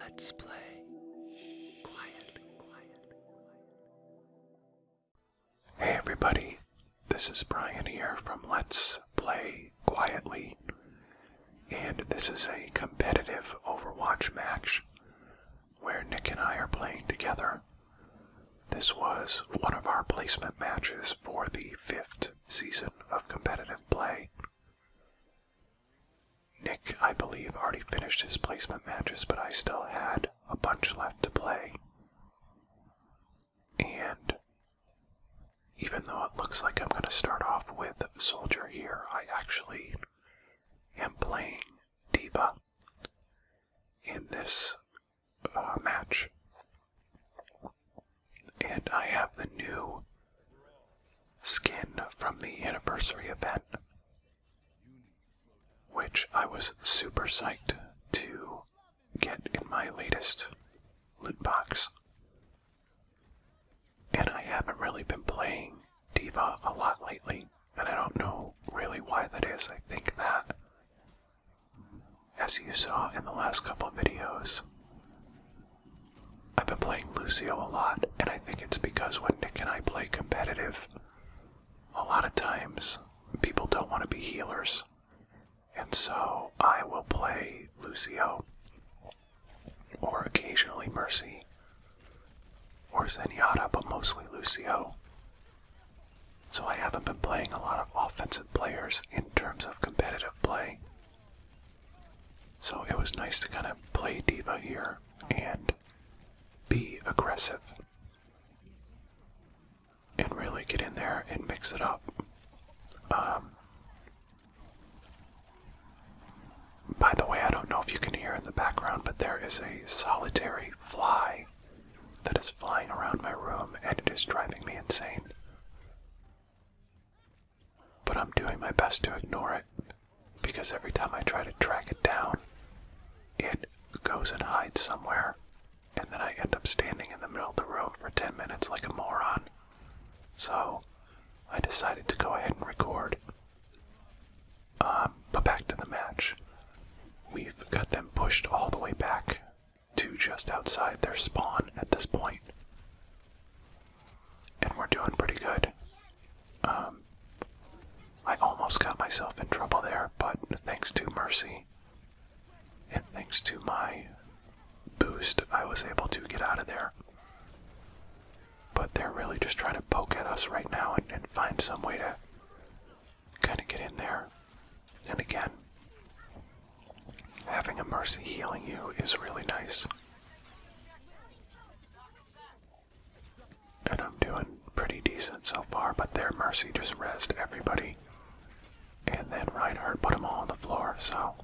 Let's play Hey everybody, this is Brian here from Let's Play Quietly, and this is a competitive Overwatch match where Nick and I are playing together. This was one of our placement matches for the fifth season of competitive play. Nick, I believe, already finished his placement matches, but I still had a bunch left to play. And even though it looks like I'm going to start off with Soldier here, I actually am playing Diva in this uh, match. And I have the new skin from the anniversary event, which I was super psyched to get in my latest loot box. And I haven't really been playing Diva a lot lately, and I don't know really why that is. I think that, as you saw in the last couple videos, I've been playing Lucio a lot, and I think it's because when Nick and I play competitive, a lot of times people don't want to be healers. And so I will play Lucio, or occasionally Mercy, or Zenyatta, but mostly Lucio. So I haven't been playing a lot of offensive players in terms of competitive play. So it was nice to kind of play diva here and be aggressive and really get in there and mix it up. Um, by the way, I don't know if you can hear in the background, but there is a solitary fly that is flying around my room and it is driving me insane. But I'm doing my best to ignore it because every time I try to track it down, it goes and hides somewhere, and then I end up standing in the middle of the road for 10 minutes like a moron. So I decided to go ahead and record. Um, but back to the match. We've got them pushed all the way back to just outside their spawn at this point and we're doing pretty good. Um, I almost got myself in trouble there, but thanks to Mercy and thanks to my boost, I was able to get out of there. But they're really just trying to poke at us right now and, and find some way to kind of get in there. And again, having a Mercy healing you is really nice. And I'm doing pretty decent so far, but their mercy just rezzed everybody. And then Reinhardt put them all on the floor, so.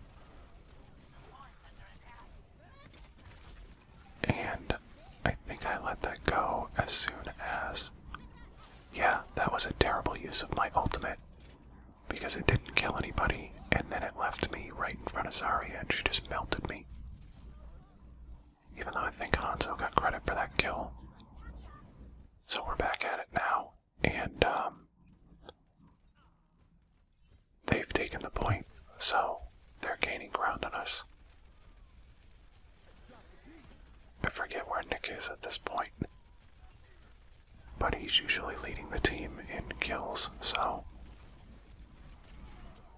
And I think I let that go as soon as. Yeah, that was a terrible use of my ultimate because it didn't kill anybody, and then it left me right in front of Zarya and she just melted me. Even though I think Hanzo got credit for that kill. So we're back at it now, and um, they've taken the point, so they're gaining ground on us. I forget where Nick is at this point but he's usually leading the team in kills, so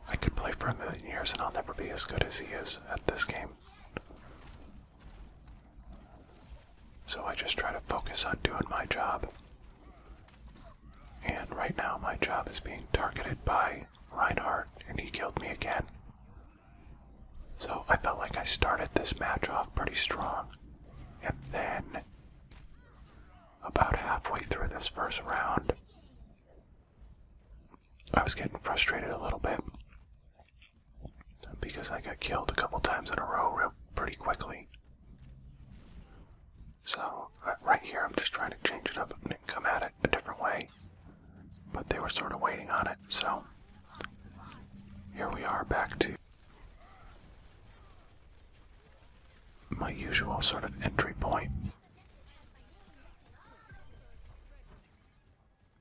I could play for a million years and I'll never be as good as he is at this game. So I just try to focus on doing my job. And right now, my job is being targeted by Reinhardt, and he killed me again. So I felt like I started this match off pretty strong, and then about halfway through this first round, I was getting frustrated a little bit because I got killed a couple times in a row real pretty quickly. So, right here, I'm just trying to change it up and come at it a different way. But they were sort of waiting on it, so here we are back to my usual sort of entry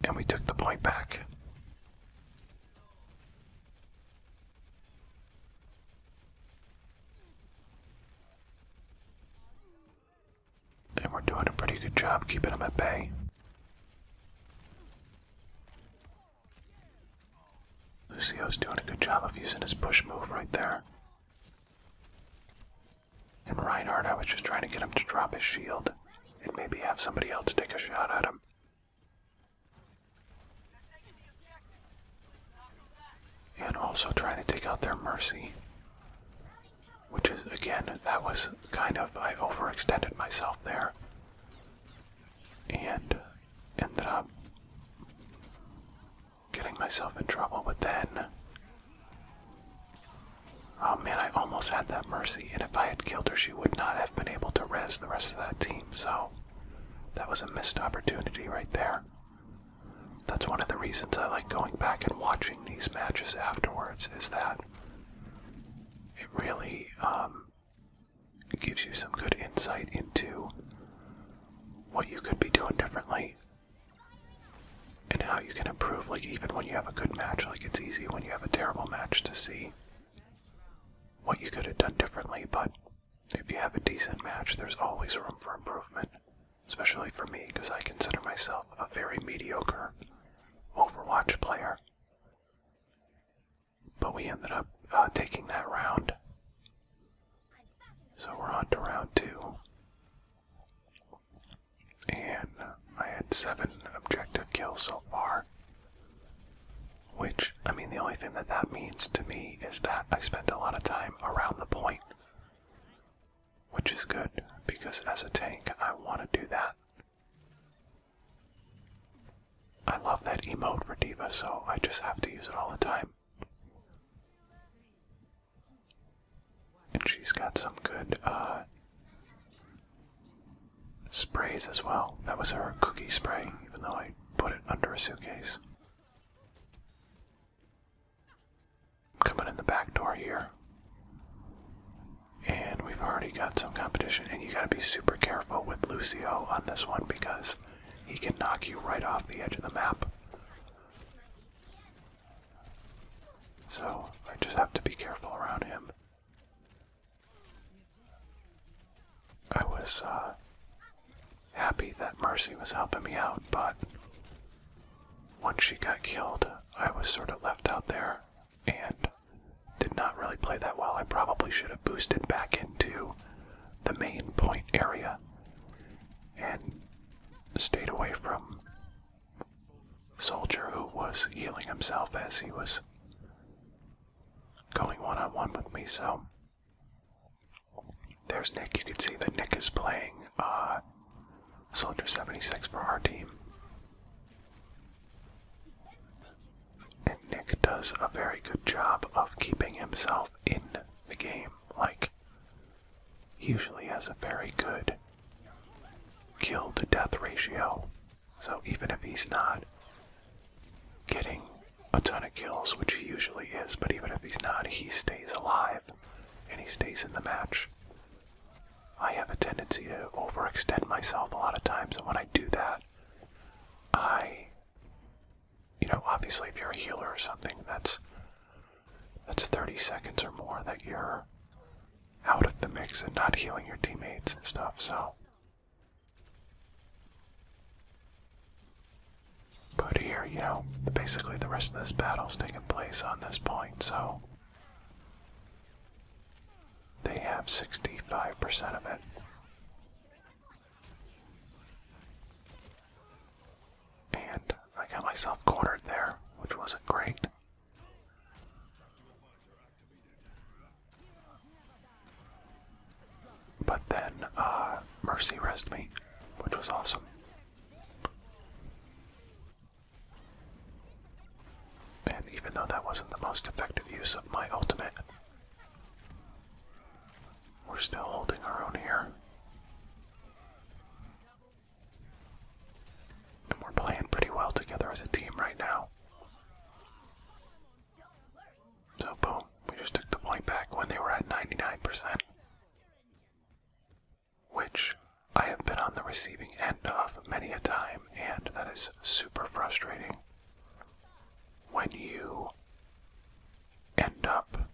And we took the point back. And we're doing a pretty good job keeping them at bay. Lucio's doing a good job of using his push move right there. And Reinhardt, I was just trying to get him to drop his shield and maybe have somebody else take a shot at him. And also trying to take out their Mercy. Which is, again, that was kind of, I overextended myself there. And ended up getting myself in trouble, but then. Oh man, I almost had that mercy, and if I had killed her, she would not have been able to res the rest of that team, so that was a missed opportunity right there. That's one of the reasons I like going back and watching these matches afterwards, is that it really um, it gives you some good insight into what you could be doing differently and how you can improve, like, even when you have a good match, like, it's easy when you have a terrible match to see what you could have done differently, but if you have a decent match, there's always room for improvement, especially for me, because I consider myself a very mediocre Overwatch player. But we ended up uh, taking that round. So we're on to round two. And I had seven objective kills so far. Which, I mean, the only thing that that means to me is that I spent a lot of time around the point. Which is good, because as a tank, I want to do that. I love that emote for Diva, so I just have to use it all the time. And she's got some good uh, sprays as well. That was her cookie spray, even though I put it under her suitcase. Coming in the back door here. And we've already got some competition, and you gotta be super careful with Lucio on this one because he can knock you right off the edge of the map. So I just have to be careful around him. I was uh, happy that Mercy was helping me out, but once she got killed, I was sort of left out there and did not really play that well. I probably should have boosted back into the main point area and stayed away from Soldier, who was healing himself as he was going one on one with me. So there's Nick. You can see that Nick is playing uh, Soldier 76 for our team. And Nick does a very good job of keeping himself in the game. Like, he usually has a very good kill to death ratio. So even if he's not getting a ton of kills, which he usually is, but even if he's not, he stays alive and he stays in the match. I have a tendency to overextend myself a lot of times, and when I do that, I you know, obviously, if you're a healer or something, that's that's 30 seconds or more that you're out of the mix and not healing your teammates and stuff. So, but here, you know, basically the rest of this battle's taking place on this point. So they have 65% of it. And I got myself cornered there, which wasn't great. But then uh, Mercy rest me, which was awesome. And even though that wasn't the most effective use of my ultimate, we're still holding our own here. And we're playing pretty well together as a team right now. So, boom, we just took the point back when they were at 99%. Which I have been on the receiving end of many a time, and that is super frustrating when you end up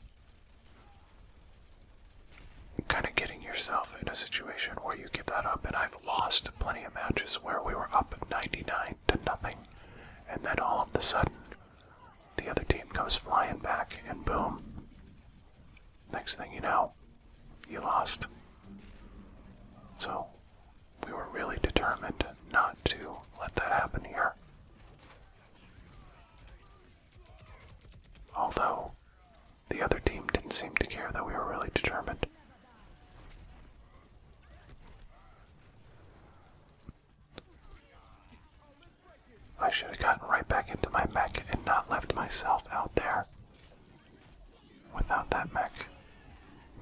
kind of getting yourself in a situation where you give that up. And I've lost plenty of matches where we were up 99 to nothing, and then all of a sudden the other team comes flying back, and boom. Next thing you know, you lost. So, we were really determined not to let that happen here. Although the other team didn't seem to care that we were really determined. I should have gotten right back into my mech and not left myself out there without that mech.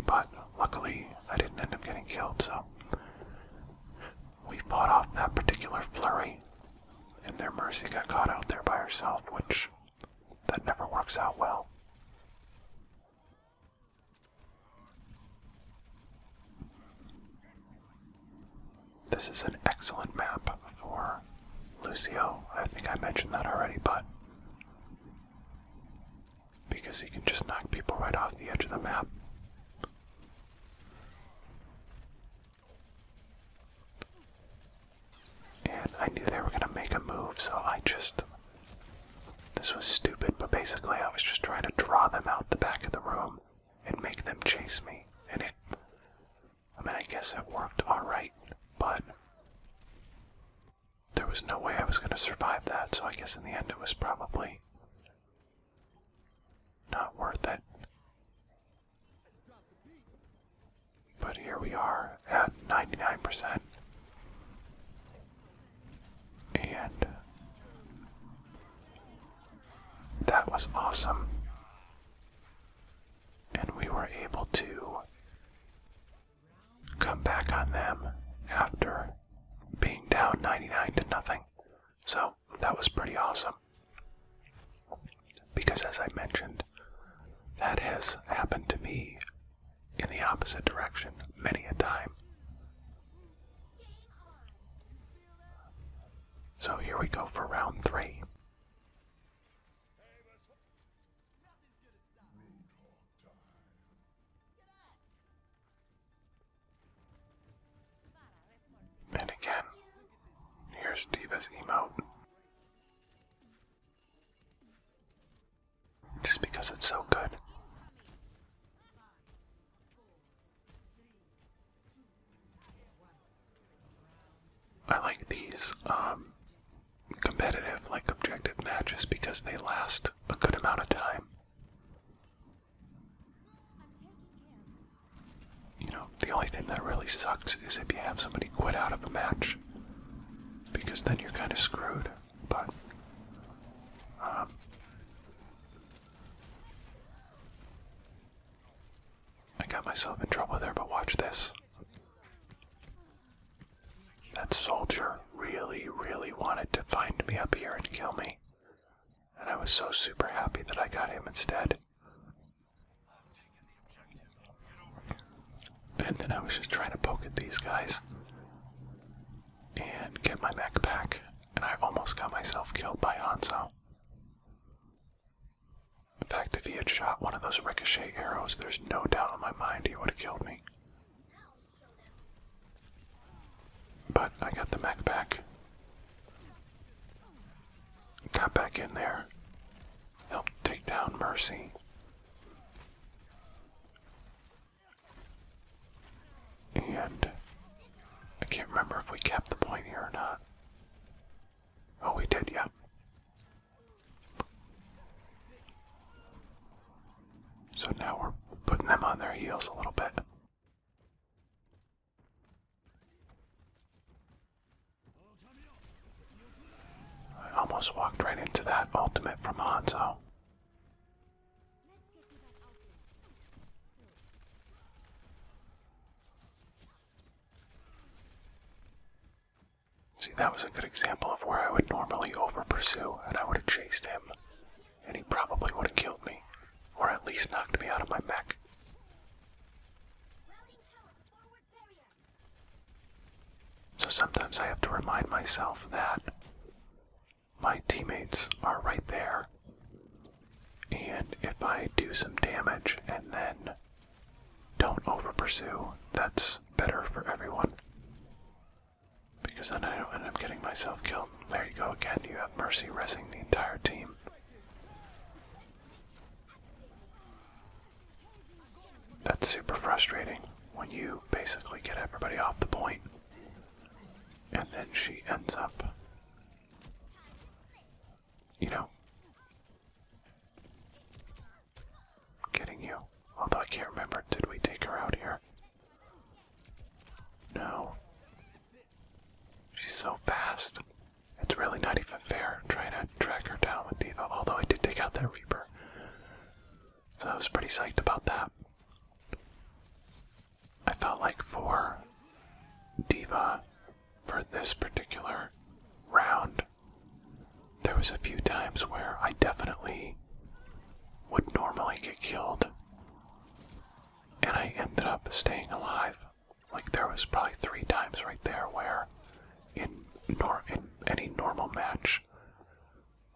But luckily, I didn't end up getting killed, so we fought off that particular flurry, and their Mercy got caught out there by herself, which that never works out well. This is an excellent map for Lucio. I think I mentioned that already, but because he can just knock people right off the edge of the map. And I knew they were going to make a move, so I just. This was stupid, but basically I was just trying to draw them out the back of the room and make them chase me. And it. I mean, I guess it worked alright, but. There was no way I was going to survive that, so I guess in the end it was probably not worth it. But here we are at 99%. And that was awesome. And we were able to come back on them after being down 99 to nothing. So that was pretty awesome. Because as I mentioned, that has happened to me in the opposite direction many a time. So here we go for round three. And again, here's Diva's emote. Just because it's so good. I like these um, competitive, like objective matches because they last a good amount of time. You know, the only thing that really sucks is if you have somebody quit out of a match, because then you're kind of screwed. But, um, I got myself in trouble there, but watch this. That soldier really, really wanted to find me up here and kill me. And I was so super happy that I got him instead. And then I was just trying to poke at these guys and get my mech back, and I almost got myself killed by Hanzo. In fact, if he had shot one of those ricochet arrows, there's no doubt in my mind he would have killed me. But I got the mech back. Got back in there. Helped take down Mercy. And I can't remember if we kept the point here or not. Oh, we did, yeah. So now we're putting them on their heels a little bit. I almost walked right into that ultimate from Hanzo. See, that was a good example of where I would normally over pursue and I would have chased him and he probably would have killed me, or at least knocked me out of my mech. So sometimes I have to remind myself that my teammates are right there, and if I do some damage and then don't over pursue, that's better for everyone. Because then I don't end up getting myself killed. There you go again, you have Mercy resing the entire team. That's super frustrating when you basically get everybody off the point, and then she ends up, you know, I'm kidding you. Although I can't remember, did we take her out here? No. She's so fast. It's really not even fair trying to track her down with Diva, although I did take out that Reaper. So I was pretty psyched about that. I felt like for Diva, for this particular round, there was a few times where I definitely would normally get killed, and I ended up staying alive. Like there was probably three times right there where, in nor in any normal match,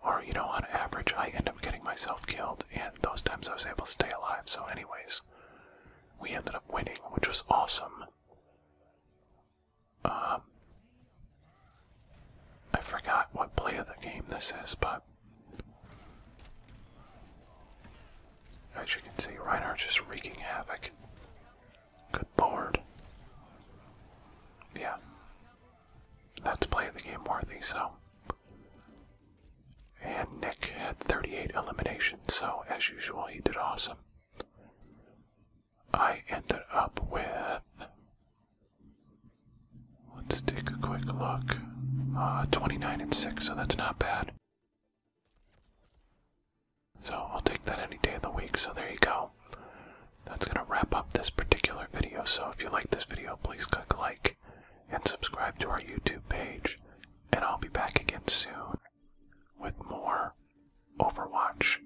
or you know on average, I end up getting myself killed, and those times I was able to stay alive. So, anyways, we ended up winning, which was awesome. Um, I forgot what play of the game this is, but as you can see, Reinhardt's just wreaking havoc. Good board. Yeah. That's play of the game worthy, so. And Nick had 38 eliminations, so as usual, he did awesome. I ended up with Let's take a quick look. Uh, 29 and 6, so that's not bad. So I'll take that any day of the week, so there you go. That's going to wrap up this particular video, so if you like this video, please click like and subscribe to our YouTube page, and I'll be back again soon with more Overwatch.